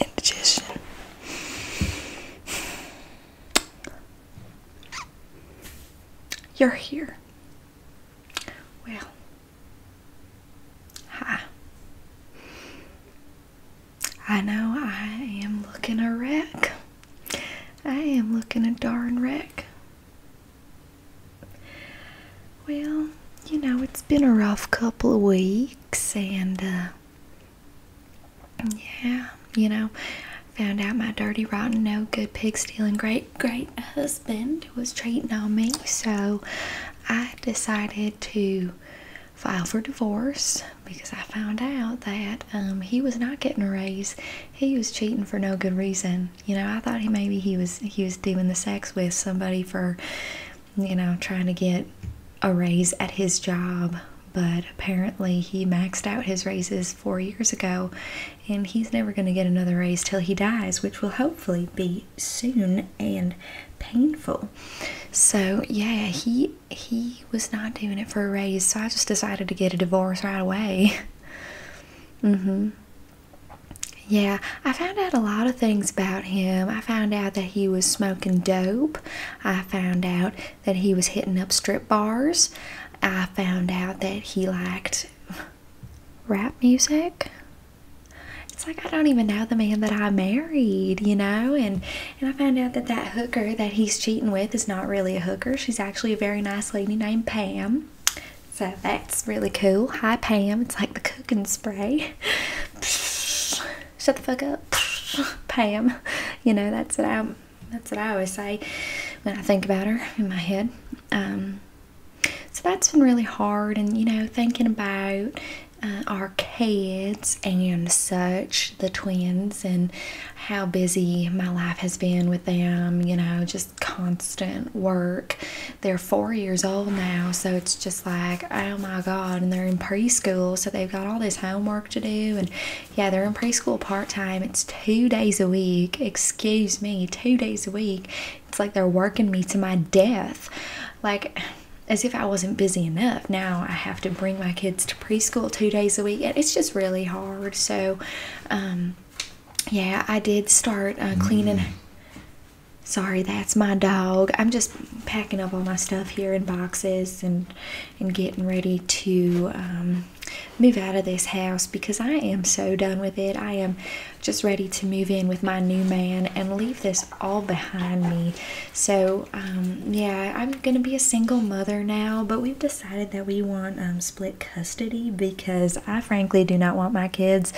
indigestion. You're here. Well, hi. I know I am looking a wreck. I am looking a darn wreck. Well, you know, it's been a rough couple of weeks, and uh, yeah, you know, found out my dirty, rotten, no good, pig stealing, great, great husband was cheating on me, so I decided to file for divorce because I found out that um, he was not getting a raise. He was cheating for no good reason. You know, I thought he maybe he was he was doing the sex with somebody for, you know, trying to get a raise at his job. But apparently he maxed out his raises four years ago, and he's never going to get another raise till he dies, which will hopefully be soon and painful. So yeah, he he was not doing it for a raise, so I just decided to get a divorce right away. mm-hmm. Yeah, I found out a lot of things about him. I found out that he was smoking dope. I found out that he was hitting up strip bars. I found out that he liked rap music. It's like I don't even know the man that I married, you know? And and I found out that that hooker that he's cheating with is not really a hooker. She's actually a very nice lady named Pam. So that's really cool. Hi Pam, it's like the cooking spray. Shut the fuck up, Pam. You know that's what I that's what I always say when I think about her in my head. Um, so that's been really hard, and you know thinking about uh, our kids and such, the twins, and how busy my life has been with them. You know just constant work. They're four years old now, so it's just like, oh my god. And they're in preschool, so they've got all this homework to do. And yeah, they're in preschool part time. It's two days a week. Excuse me, two days a week. It's like they're working me to my death. Like, as if I wasn't busy enough. Now I have to bring my kids to preschool two days a week, and it's just really hard. So, um, yeah, I did start uh, cleaning. Mm. Sorry, that's my dog. I'm just packing up all my stuff here in boxes and and getting ready to um, move out of this house because I am so done with it. I am just ready to move in with my new man and leave this all behind me. So um, yeah, I'm gonna be a single mother now, but we've decided that we want um, split custody because I frankly do not want my kids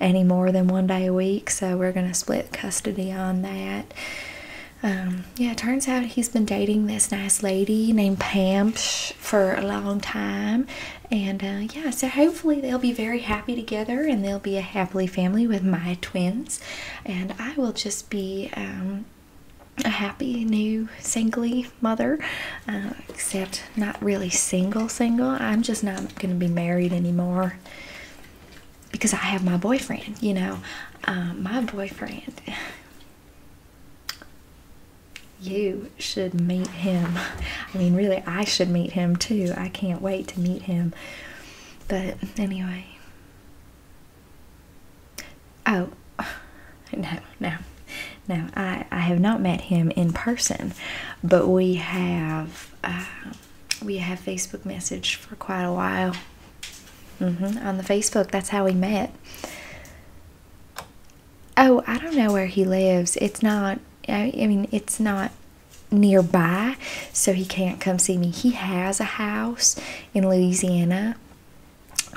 any more than one day a week. So we're going to split custody on that. Um, yeah, it turns out he's been dating this nice lady named Pam for a long time. And uh, yeah, so hopefully they'll be very happy together and they'll be a happily family with my twins. And I will just be um, a happy new singly mother, uh, except not really single, single. I'm just not going to be married anymore because I have my boyfriend, you know. Uh, my boyfriend, you should meet him. I mean, really, I should meet him too. I can't wait to meet him. But anyway. Oh, no, no. Now, I, I have not met him in person, but we have uh, we have Facebook message for quite a while. Mm-hmm, on the Facebook, that's how we met. Oh, I don't know where he lives. It's not. I, mean, it's not nearby, so he can't come see me. He has a house in Louisiana,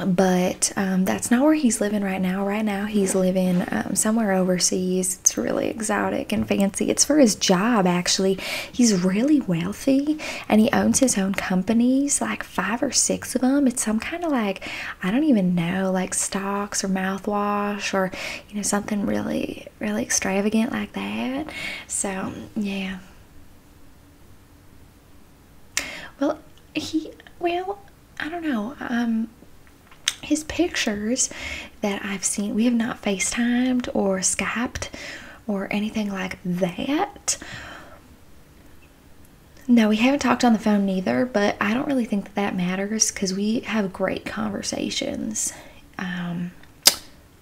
but um, that's it's not where he's living right now. Right now, he's living um, somewhere overseas. It's really exotic and fancy. It's for his job, actually. He's really wealthy and he owns his own companies, like five or six of them. It's some kind of like, I don't even know, like stocks or mouthwash or, you know, something really, really extravagant like that. So, yeah. Well, he, well, I don't know. Um, his pictures that I've seen. We have not FaceTimed or Skyped or anything like that. No, we haven't talked on the phone neither, but I don't really think that, that matters because we have great conversations um,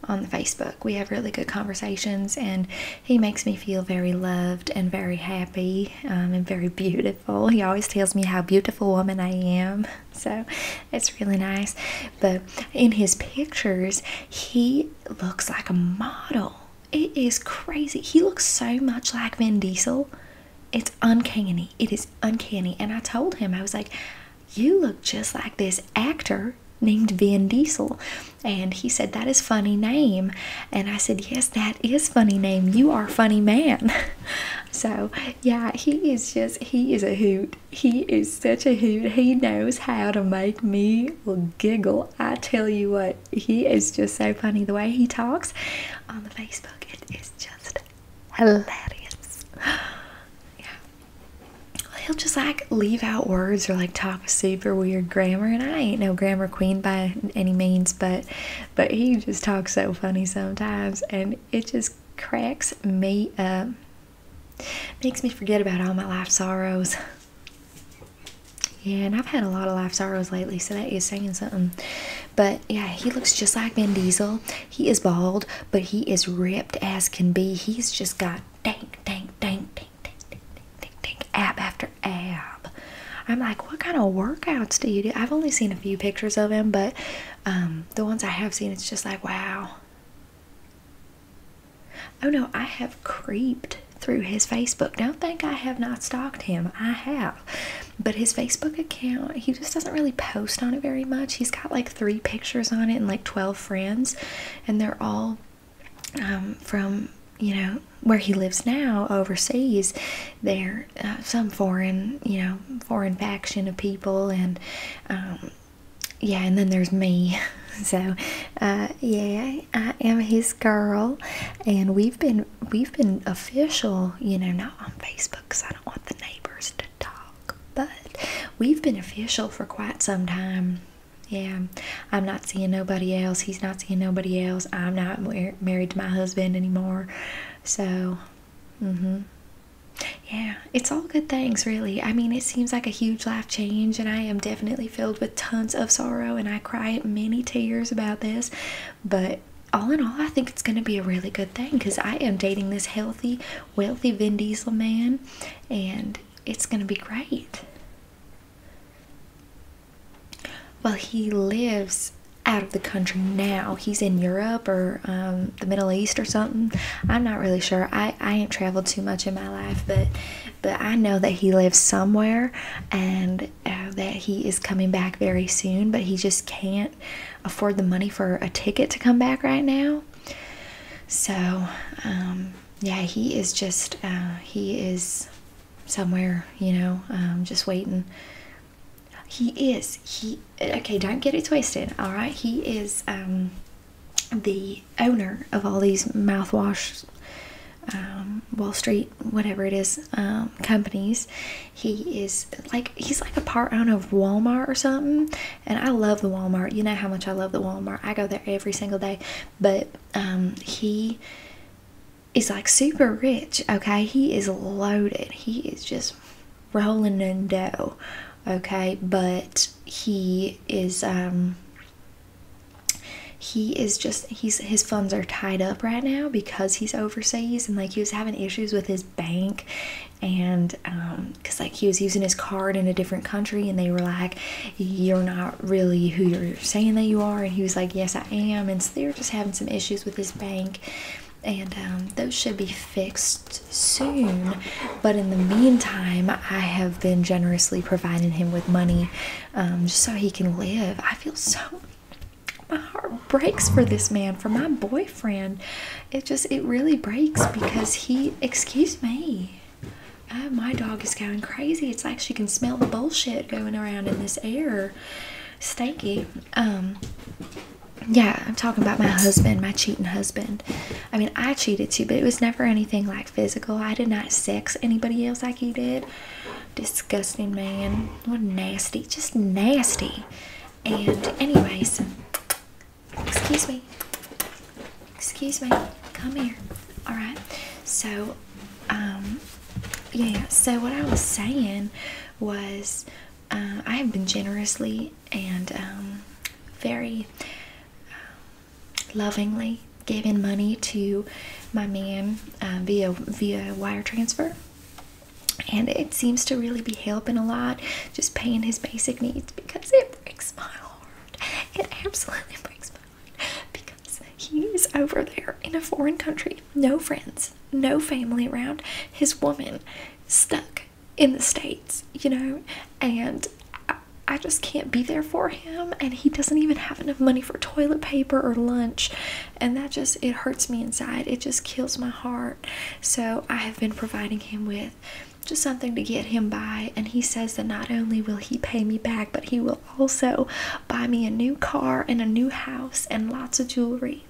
on the Facebook. We have really good conversations, and he makes me feel very loved and very happy um, and very beautiful. He always tells me how beautiful woman I am, so it's really nice. But in his pictures, he looks like a model. It is crazy. He looks so much like Vin Diesel. It's uncanny. It is uncanny. And I told him, I was like, You look just like this actor named Vin Diesel. And he said, That is funny name. And I said, Yes, that is funny name. You are funny man. so yeah he is just he is a hoot he is such a hoot he knows how to make me giggle i tell you what he is just so funny the way he talks on the facebook it is just hilarious yeah he'll just like leave out words or like talk super weird grammar and i ain't no grammar queen by any means but but he just talks so funny sometimes and it just cracks me up makes me forget about all my life sorrows yeah and i've had a lot of life sorrows lately so that is saying something but yeah he looks just like vin diesel he is bald but he is ripped as can be he's just got dang, dang, dang, dang, dang, dang, dang, dang ab after Dr. Ab. I'm like, what kind of workouts do you do? I've only seen a few pictures of him, but um, the ones I have seen, it's just like, wow. Oh no, I have creeped through his Facebook. Don't think I have not stalked him. I have. But his Facebook account, he just doesn't really post on it very much. He's got like three pictures on it and like 12 friends, and they're all um, from you know, where he lives now overseas, there uh, some foreign, you know, foreign faction of people, and um, yeah, and then there's me. So, uh, yeah, I am his girl, and we've been we've been official, you know, not on Facebook because I don't want the neighbors to talk, but we've been official for quite some time. Yeah, I'm not seeing nobody else. He's not seeing nobody else. I'm not married to my husband anymore. So, mm-hmm. Yeah, it's all good things, really. I mean, it seems like a huge life change, and I am definitely filled with tons of sorrow, and I cry many tears about this. But all in all, I think it's going to be a really good thing because I am dating this healthy, wealthy Vin Diesel man, and it's going to be great well he lives out of the country now he's in europe or um, the middle east or something i'm not really sure i i ain't traveled too much in my life but but i know that he lives somewhere and uh, that he is coming back very soon but he just can't afford the money for a ticket to come back right now so um, yeah he is just uh, he is somewhere, you know, um, just waiting. He is. He okay. Don't get it twisted. All right. He is um, the owner of all these mouthwash, um, Wall Street, whatever it is, um, companies. He is like he's like a part owner of Walmart or something. And I love the Walmart. You know how much I love the Walmart. I go there every single day. But he is like super rich, okay? He is loaded. He is just rolling in dough, okay? But he is um he is just he's his funds are tied up right now because he's overseas and like he was having issues with his bank and um because like he was using his card in a different country and they were like you're not really who you're saying that you are. And he was like, Yes, I am. And so they are just having some issues with his bank. And um, those should be fixed soon. But in the meantime, I have been generously providing him with money um, just so he can live. I feel so. My heart breaks for this man, for my boyfriend. It just, it really breaks because he, excuse me. Uh, my dog is going crazy. It's like she can smell the bullshit going around in this air stanky. Um, yeah, I'm talking about my husband, my cheating husband. I mean, I cheated too, but it was never anything like physical. I did not sex anybody else like he did. Disgusting man. What nasty. Just nasty. And, anyways, excuse me. Excuse me. Come here. All right. So, um, yeah, so what I was saying was uh, I have been generously and um, very uh, lovingly giving money to my man uh, via via wire transfer and it seems to really be helping a lot just paying his basic needs because it breaks my heart it absolutely breaks my because he's over there in a foreign country, no friends, no family around. His woman stuck in the States, you know, and I just can't be there for him. And he doesn't even have enough money for toilet paper or lunch. And that just, it hurts me inside. It just kills my heart. So I have been providing him with just something to get him by. And he says that not only will he pay me back, but he will also buy me a new car and a new house and lots of jewelry.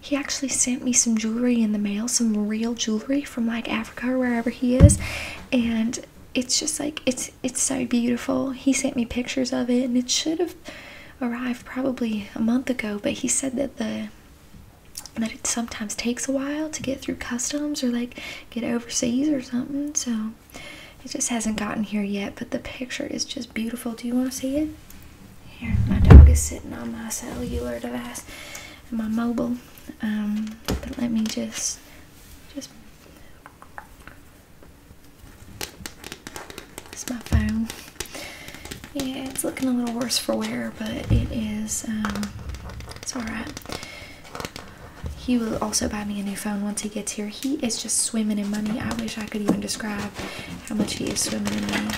He actually sent me some jewelry in the mail, some real jewelry from like Africa or wherever he is, and it's just like it's it's so beautiful. He sent me pictures of it, and it should have arrived probably a month ago, but he said that the that it sometimes takes a while to get through customs or like get overseas or something. So it just hasn't gotten here yet, but the picture is just beautiful. Do you want to see it? Here, my dog is sitting on my cellular device, my mobile. Um, but let me just, just. It's my phone. Yeah, it's looking a little worse for wear, but it is. Um, it's all right. He will also buy me a new phone once he gets here. He is just swimming in money. I wish I could even describe how much he is swimming in money.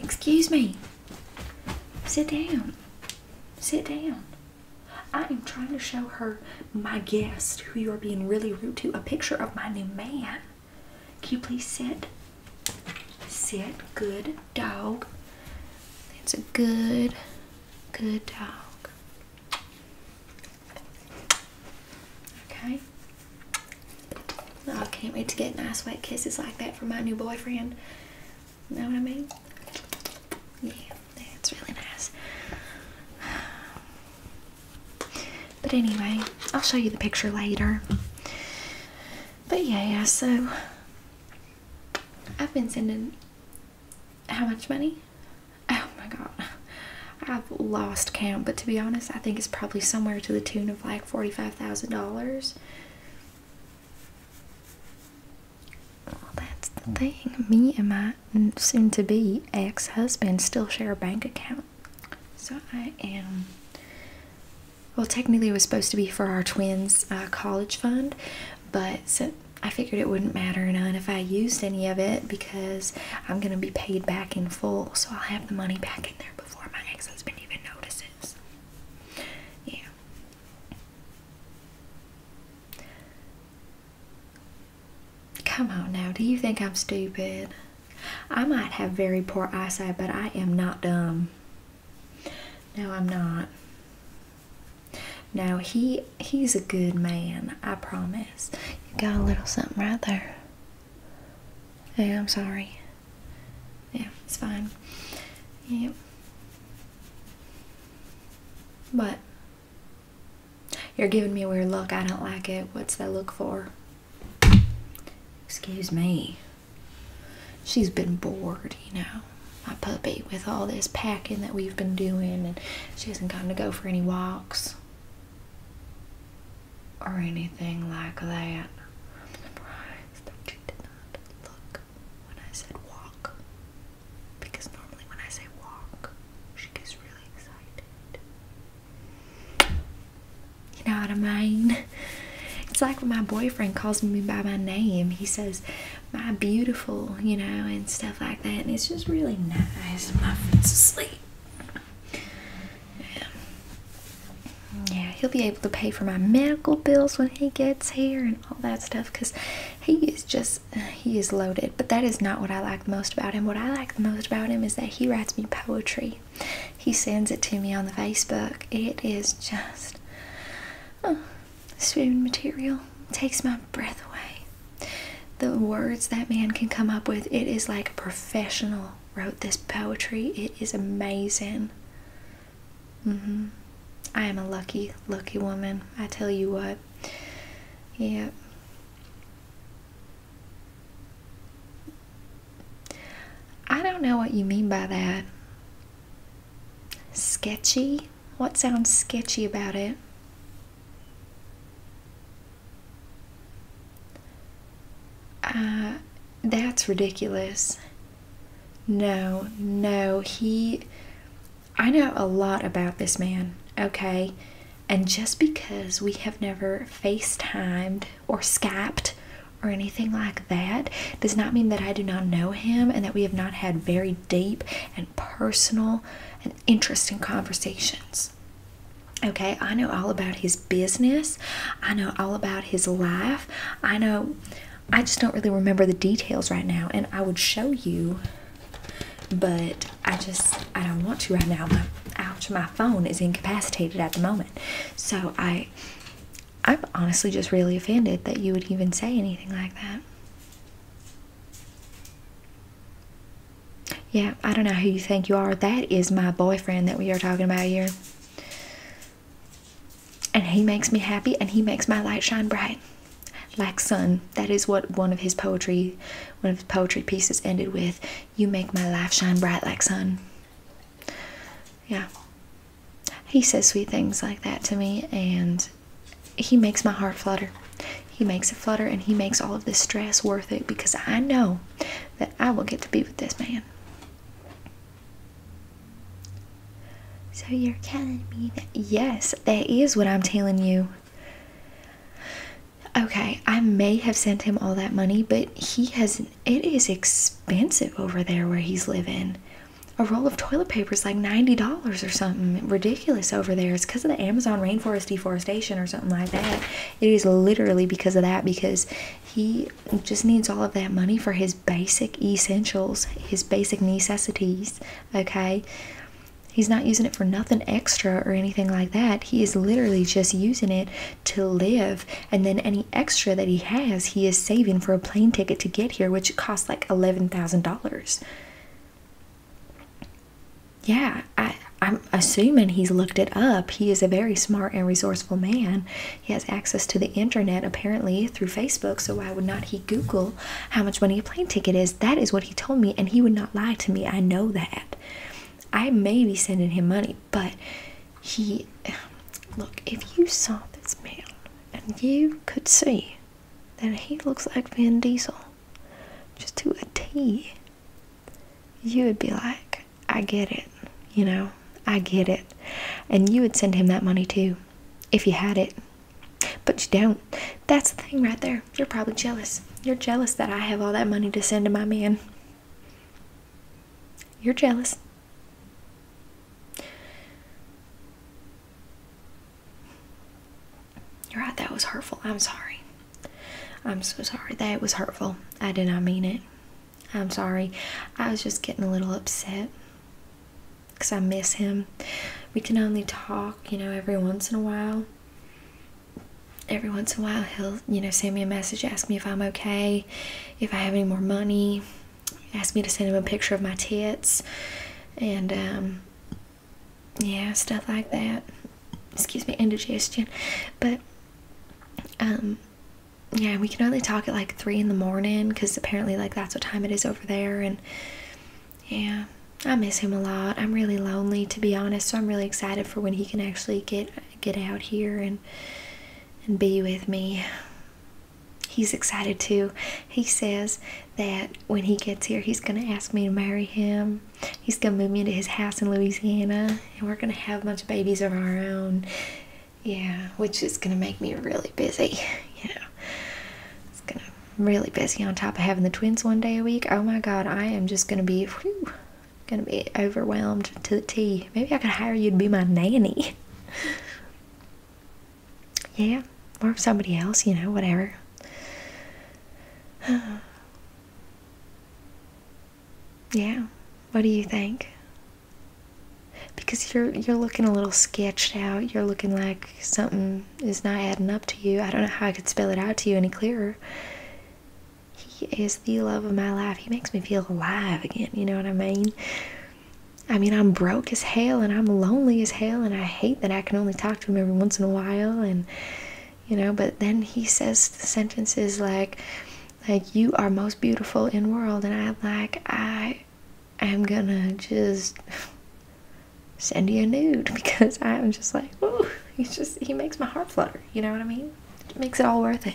Excuse me. Sit down. Sit down. I am trying to show her my guest, who you are being really rude to, a picture of my new man. Can you please sit? Sit. Good dog. It's a good, good dog. Okay. Oh, I can't wait to get nice wet kisses like that from my new boyfriend. Know what I mean? Yeah, that's really nice. But anyway, I'll show you the picture later. But yeah, so I've been sending how much money? Oh my god. I've lost count, but to be honest, I think it's probably somewhere to the tune of like $45,000. Well, that's the hmm. thing. Me and my soon to be ex husband still share a bank account. So I am well, technically it was supposed to be for our twins' uh, college fund, but I figured it wouldn't matter none if I used any of it because I'm going to be paid back in full, so I'll have the money back in there before my ex-husband even notices. Yeah. Come on now, do you think I'm stupid? I might have very poor eyesight, but I am not dumb. No, I'm not. No, he he's a good man, I promise. You got a little something right there. Yeah, I'm sorry. Yeah, it's fine. Yep. But you're giving me a weird look. I don't like it. What's that look for? Excuse me she's been bored, you know, my puppy, with all this packing that we've been doing, and she hasn't gotten to go for any walks or anything like that. I'm did not look when I said walk, because normally when I say walk, she gets really excited. You know what I mean? It's like when my boyfriend calls me by my name. He says, my beautiful, you know, and stuff like that. And it's just really nice. My phone's asleep. Yeah. yeah, he'll be able to pay for my medical bills when he gets here and all that stuff because he is just, he is loaded. But that is not what I like most about him. What I like the most about him is that he writes me poetry. He sends it to me on the Facebook. It is just oh, spoon material. takes my breath away. The words that man can come up with, it is like a professional wrote this poetry. It is amazing. Mm-hmm. I am a lucky, lucky woman. I tell you what. Yep. I don't know what you mean by that. Sketchy? What sounds sketchy about it? Uh, that's ridiculous. No, no, he. I know a lot about this man, okay? And just because we have never FaceTimed or skyped or anything like that does not mean that I do not know him and that we have not had very deep and personal and interesting conversations. Okay, I know all about his business. I know all about his life. I know, I just don't really remember the details right now, and I would show you, but I just, I don't want to right now. My, ouch, my phone is incapacitated at the moment. So I I'm honestly just really offended that you would even say anything like that. Yeah, I don't know who you think you are. That is my boyfriend that we are talking about here. And he makes me happy and he makes my light shine bright. Like sun. That is what one of his poetry one of his poetry pieces ended with. You make my life shine bright like sun yeah he says sweet things like that to me and he makes my heart flutter he makes it flutter and he makes all of this stress worth it because i know that i will get to be with this man so you're telling me that yes that is what i'm telling you Okay, I may have sent him all that money, but he has it is expensive over there where he's living. A roll of toilet paper is like $90 or something ridiculous over there. It's because of the Amazon rainforest deforestation or something like that. It is literally because of that because he just needs all of that money for his basic essentials, his basic necessities, okay? He's not using it for nothing extra or anything like that. He is literally just using it to live and then any extra that he has he is saving for a plane ticket to get here which costs like $11,000. Yeah, I I'm assuming he's looked it up. He is a very smart and resourceful man. He has access to the internet apparently through Facebook, so why would not he Google how much money a plane ticket is? That is what he told me, and he would not lie to me. I know that. I may be sending him money, but he look, if you saw this man and you could see that he looks like Vin Diesel just to a T, you would be like, I get it, you know, I get it. And you would send him that money too if you had it. But you don't. That's the thing right there. You're probably jealous. You're jealous that I have all that money to send to my man. You're jealous. You're right, that was hurtful. I'm sorry. I'm so sorry. That was hurtful. I did not mean it. I'm sorry. I was just getting a little upset because I miss him. We can only talk, you know, every once in a while every once in a while he'll you know send me a message ask me if i'm okay if i have any more money ask me to send him a picture of my tits and um, yeah stuff like that excuse me indigestion but um, yeah we can only talk at like three in the morning because apparently like that's what time it is over there and yeah i miss him a lot i'm really lonely to be honest so i'm really excited for when he can actually get get out here and and be with me. He's excited too. He says that when he gets here, he's going to ask me to marry him. He's going to move me into his house in Louisiana, and we're going to have a bunch of babies of our own. Yeah, which is going to make me really busy. You know, it's going to really busy on top of having the twins one day a week. Oh my God, I am just going to be gonna be overwhelmed to the T. Maybe I could hire you to be my nanny. yeah, or somebody else, you know, whatever. yeah, what do you think? Because you're you're looking a little sketched out. You're looking like something is not adding up to you. I don't know how I could spell it out to you any clearer. He is the love of my life. He makes me feel alive again. You know what I mean? I mean, I'm broke as hell and I'm lonely as hell, and I hate that I can only talk to him every once in a while. And, you know, but then he says the sentences like, like, you are most beautiful in world. And I'm like, I am gonna just send you a nude because I'm just like, he's just, he makes my heart flutter. You know what I mean? makes it all worth it.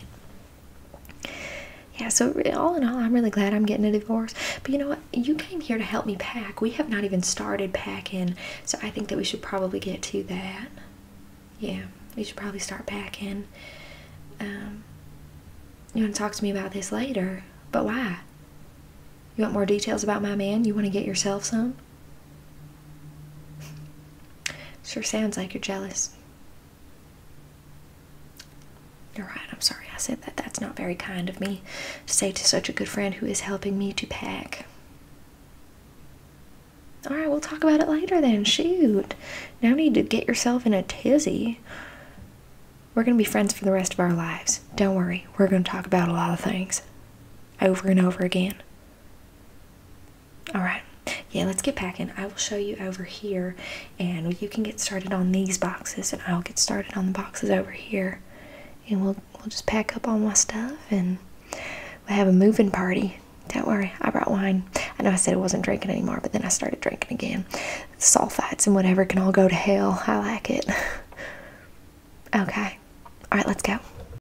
Yeah, so all in all, I'm really glad I'm getting a divorce. But you know what? You came here to help me pack. We have not even started packing, so I think that we should probably get to that. Yeah, we should probably start packing. Um, you want to talk to me about this later, but why? You want more details about my man? You want to get yourself some? Sure sounds like you're jealous. You're right, I'm sorry I said that. That's not very kind of me to say to such a good friend who is helping me to pack. Alright, we'll talk about it later then. Shoot. No need to get yourself in a tizzy. We're going to be friends for the rest of our lives. Don't worry, we're going to talk about a lot of things over and over again. All right. Yeah, let's get packing. I will show you over here and you can get started on these boxes and I'll get started on the boxes over here. And we'll we'll just pack up all my stuff and we'll have a moving party. Don't worry, I brought wine. I know I said I wasn't drinking anymore, but then I started drinking again. Sulfites and whatever can all go to hell. I like it. okay. All right, let's go.